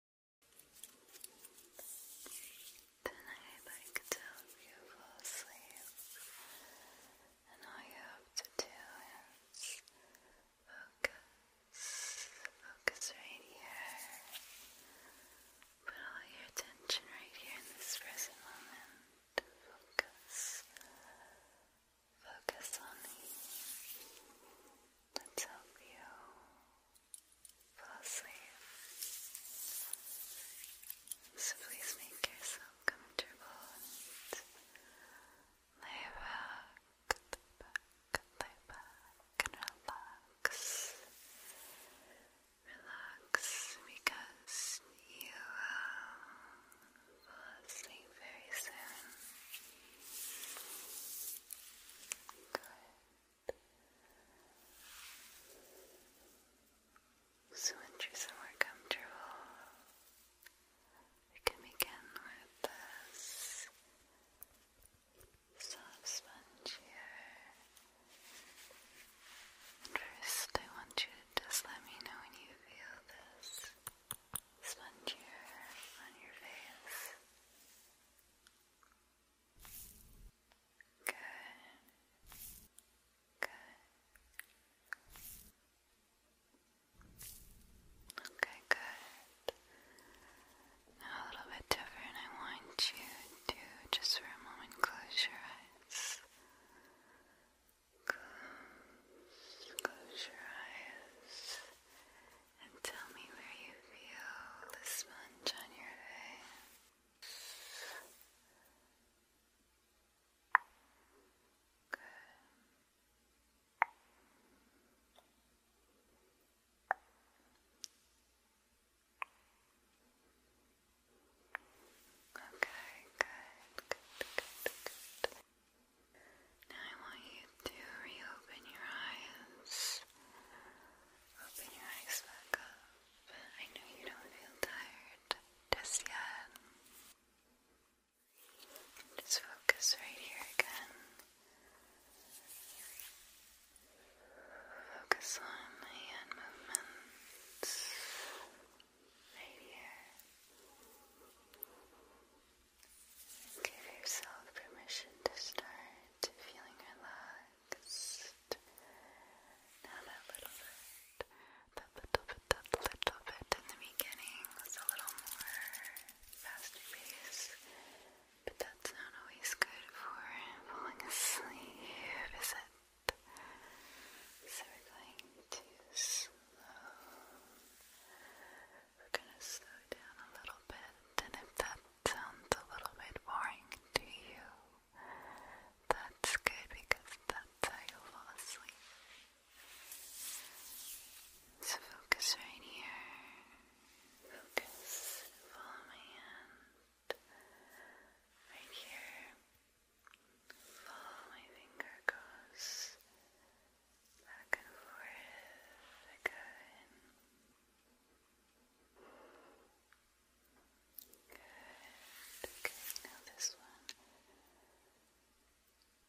Tonight I could help you fall asleep, and all you have to do is focus, focus right here. Put all your attention right here in this present moment. Focus. Focus on me. Let's help you fall asleep. So please make yourself comfortable and lay back, lay back, lay back, and relax. Relax because you will fall asleep very soon. Good. So once you're somewhere comfortable, we can begin with this soft sponge here. first, I want you to just let me know when you feel this sponge here on your face. Good. Good. Okay, good. Now a little bit different. I want you to just for a moment close your eyes. Close, your eyes. And tell me where you feel the sponge on your head. Good. Okay, good, good, good, good. Now I want you to reopen your eyes. Open your eyes back up. I know you don't feel tired just yet. Just focus right here again. Focus on the hand movements right here. Give yourself permission to start bit, feeling relaxed. Now that little bit, that little bit, that little bit in the beginning was a little more faster pace, but that's not always good for falling asleep, is it? So we're going to slow. We're going to slow down a little bit, and if that sounds a little bit boring to you, that's good because that's how you fall asleep. So focus right here. Focus, follow my hand. Right here. Follow my finger goes back and forth again. Good. Okay, now this one.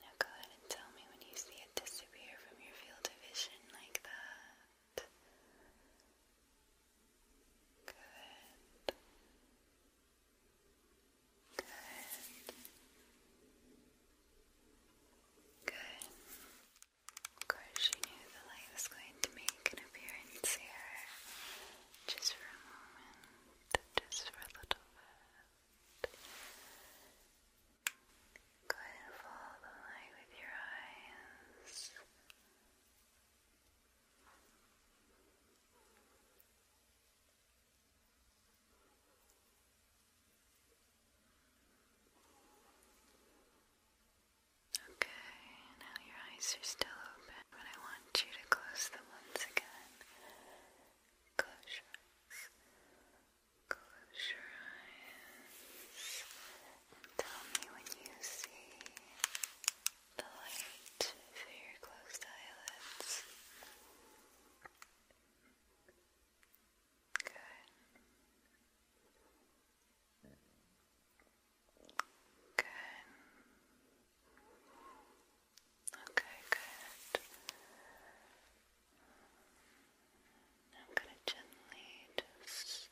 Now go ahead and tell me when you see it disappear from your field of vision like that. Good. Good. Good. Of course, she knew the light was going to make an appearance here, just for a moment, just for a little bit. Go and follow the light with your eyes. Okay, now your eyes are still open, but I want you to close them once again. Close your eyes. Close your eyes. tell me when you see the light through your closed eyelids. Good. Good. Okay, good. I'm gonna gently just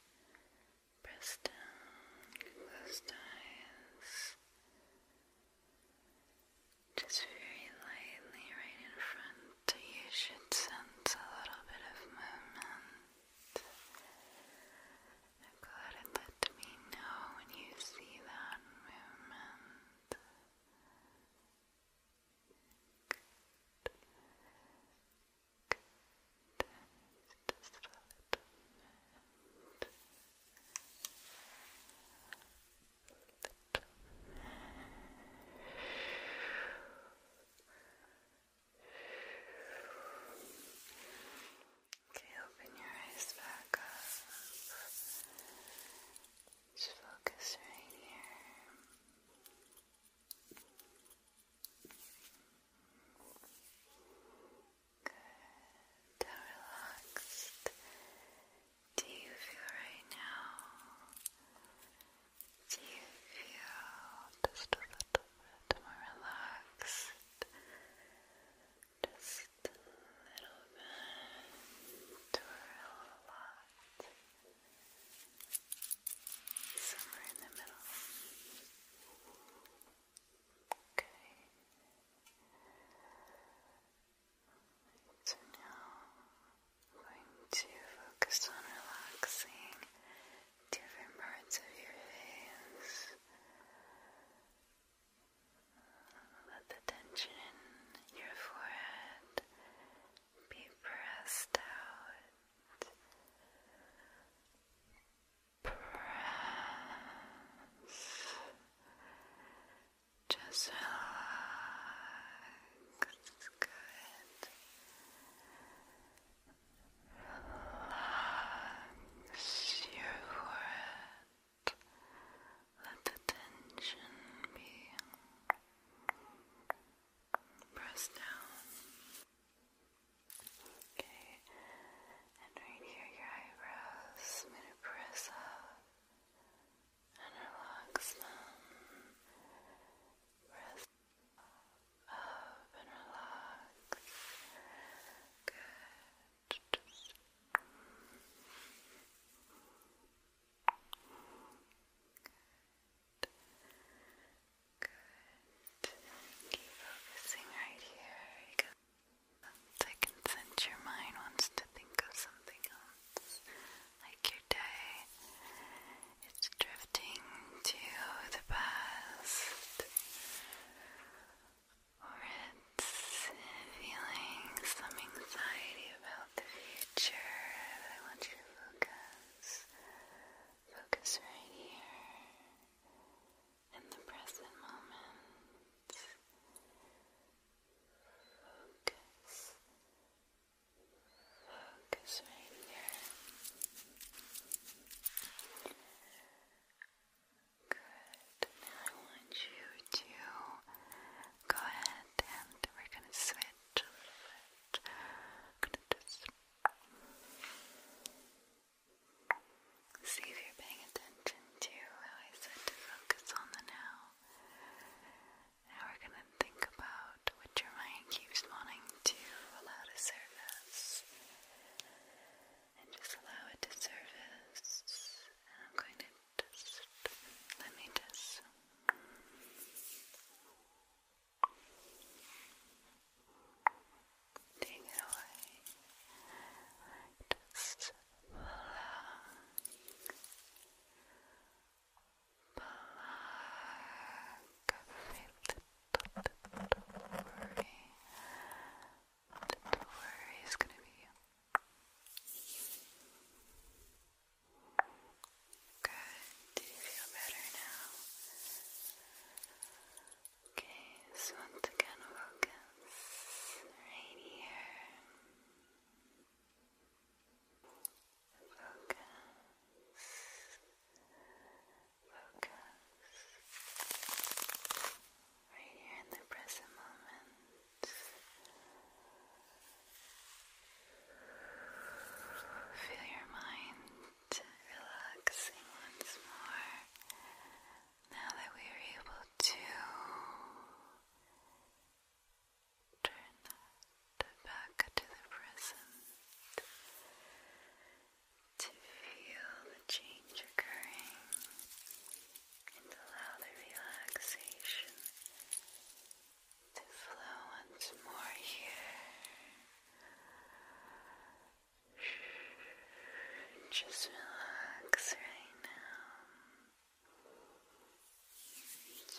press down, close eyes. Just very lightly right in front you should sense a little bit of movement. Go ahead let me know when you see that movement. Okay, open your eyes back up. Just focus right here. Good. How relaxed do you feel right now? Do you feel just a little bit more relaxed? Just a little bit or a lot. Somewhere in the middle. Okay. So now going to focus on relaxing different parts of your face. Let the tension in your forehead be pressed out. Press. Just relax. Good. Relax your forehead. Let the tension be pressed down. Okay, and right here, your eyebrows. gonna press up and relax them. Press up and relax. Good. Good. Keep focusing right here. You I can sense your mind wants to think of something else like your day. It's drifting to the past, or it's feeling some anxiety about the future. I want you to focus, focus right here in the present moment. Focus Focus right here. Good. Now I want you to go ahead and we're gonna switch see if you're paying attention to how I said to focus on the now. Now we're going to think about what your mind keeps wanting to allow to surface. And just allow it to surface. And I'm going to just let me just. Take it away. Just allow black, a very little, little worry. Little worry is gonna be you. Good, do you feel better now? Okay, so once again focus right here focus right here in the present moment feel your mind relaxing once more now that we are able to turn that back to the present to feel the change occurring and allow the relaxation to flow once more here. Just relax right now.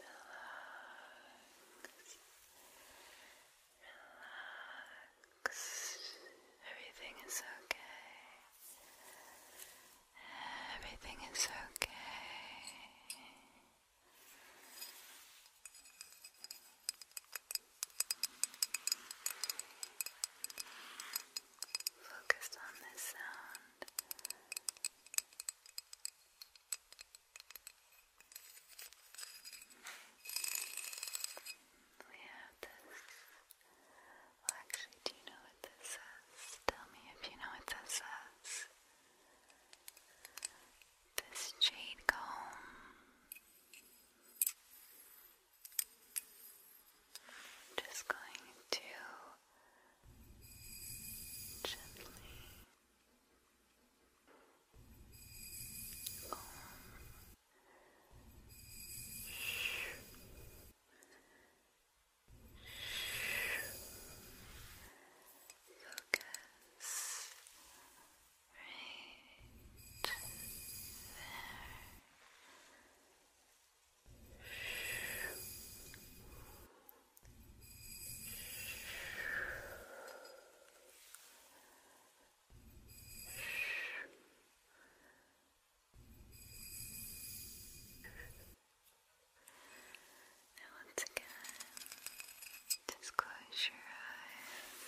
relax, relax. Everything is okay. Everything is okay. Focused on this sound. We have this. actually, do you know what this says? Tell me if you know what this says. This jade comb. just going to gently calm focus right there now, once again, just close your eyes.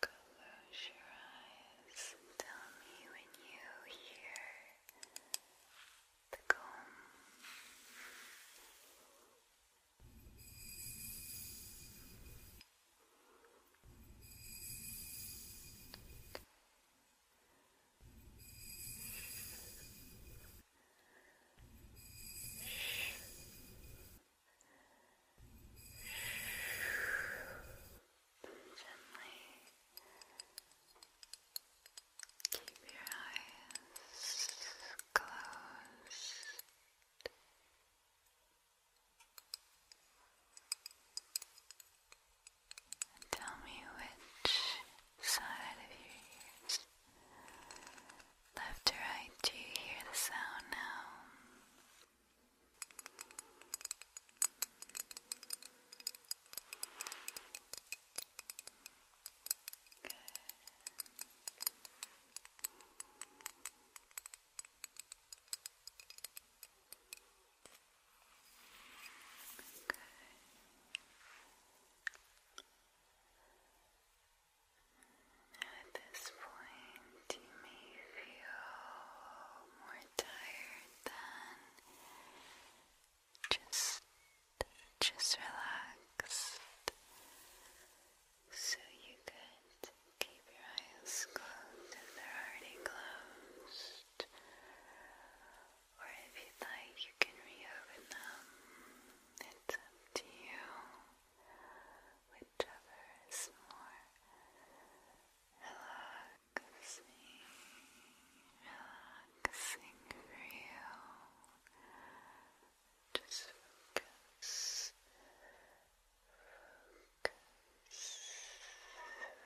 Close your eyes is. Tell me when you hear the comb. Good. Gently keep your eyes closed. tell me which side of your ears, left or right, do you hear the sound now? Now at this point, you may feel more tired than just, just relaxed. So you could keep your eyes closed if they're already closed. Or if you'd like, you can reopen them. It's up to you. Whichever is more relaxed relaxing, relaxing for you. Just focus, focus,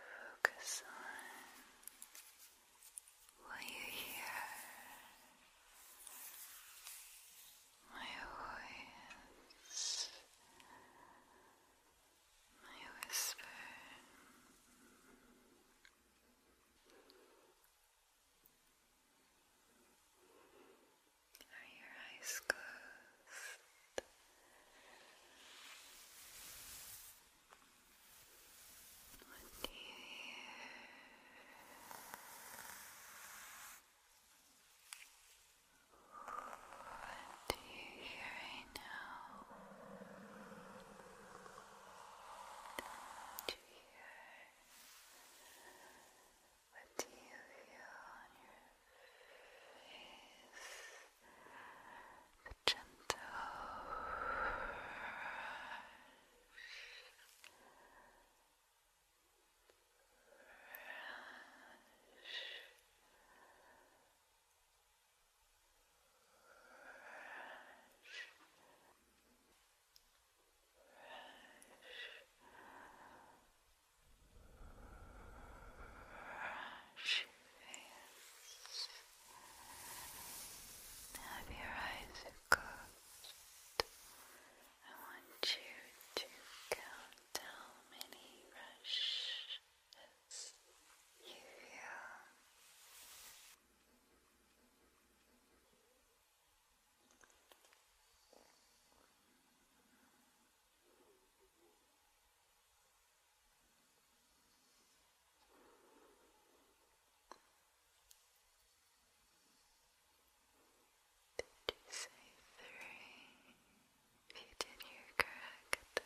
focus on what you hear. My voice. I whisper Are your eyes closed? What do you hear? What do you hear right now? do you hear? What do you feel on your face? The gentle Rush. Brush, face. Have your eyes closed. I want you to count how many brush it's you Did you say three? If You did hear correct.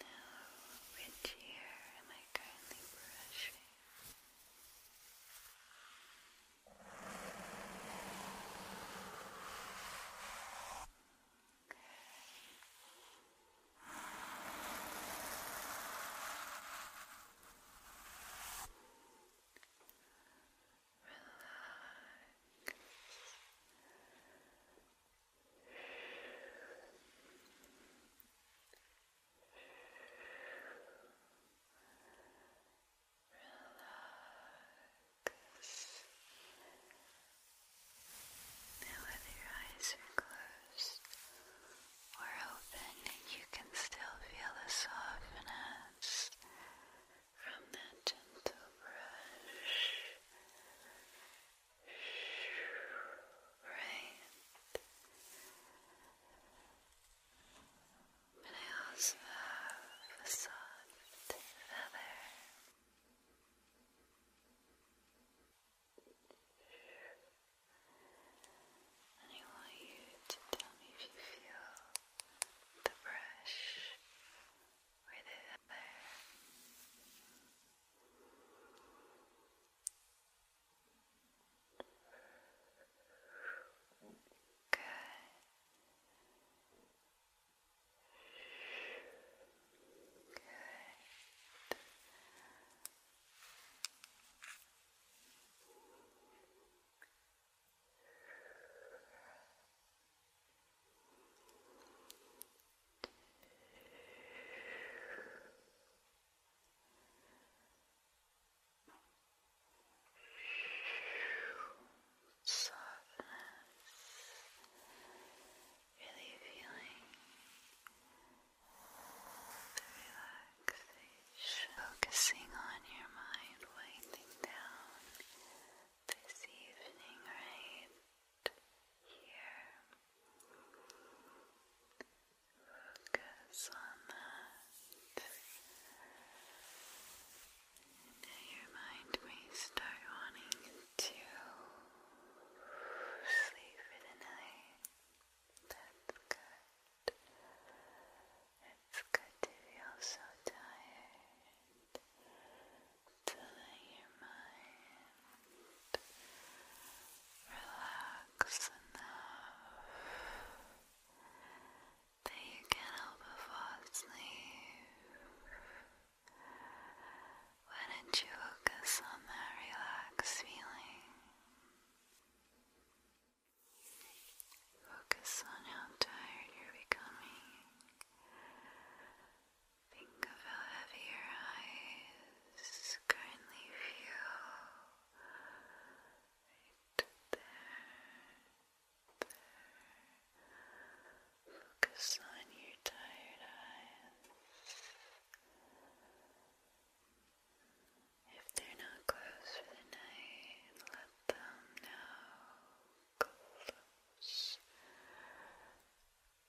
Now, which ear am I currently brushing? Okay. Now, whether your eyes closed or open, you can still feel the softness from that gentle brush right I also have a soft feather and I want you to tell me if you feel the brush with the other. Good. Good. Softness, really feeling the relaxation, focusing on your mind, winding down this evening, right here. Focus on that. Now your mind start wanting to sleep for the night. That's good. It's good to feel so tired to your mind relax enough that you can help but fall asleep. Why don't you focus on that relaxed feeling? Focus on how tired you're becoming. Think of how heavy your eyes currently feel. Right there, there. Focus on your tired eyes. If they're not closed for the night, let them know close, close,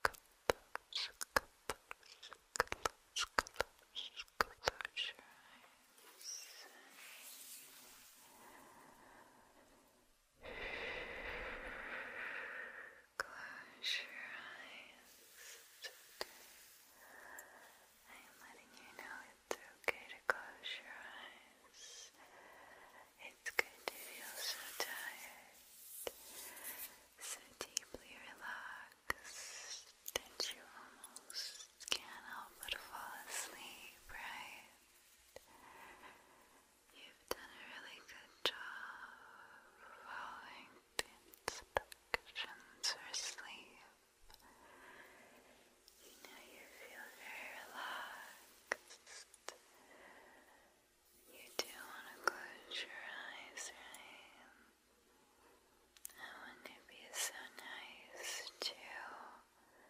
close, close, close, close your eyes. Close your eyes. It's okay. I am letting you know it's okay to close your eyes. It's good to feel so tired, so deeply relaxed that you almost can't help but fall asleep, right? You've done a really good job following the instructions for sleep. Now you feel very relaxed. You do want to close your eyes, right? I want to be so nice to fall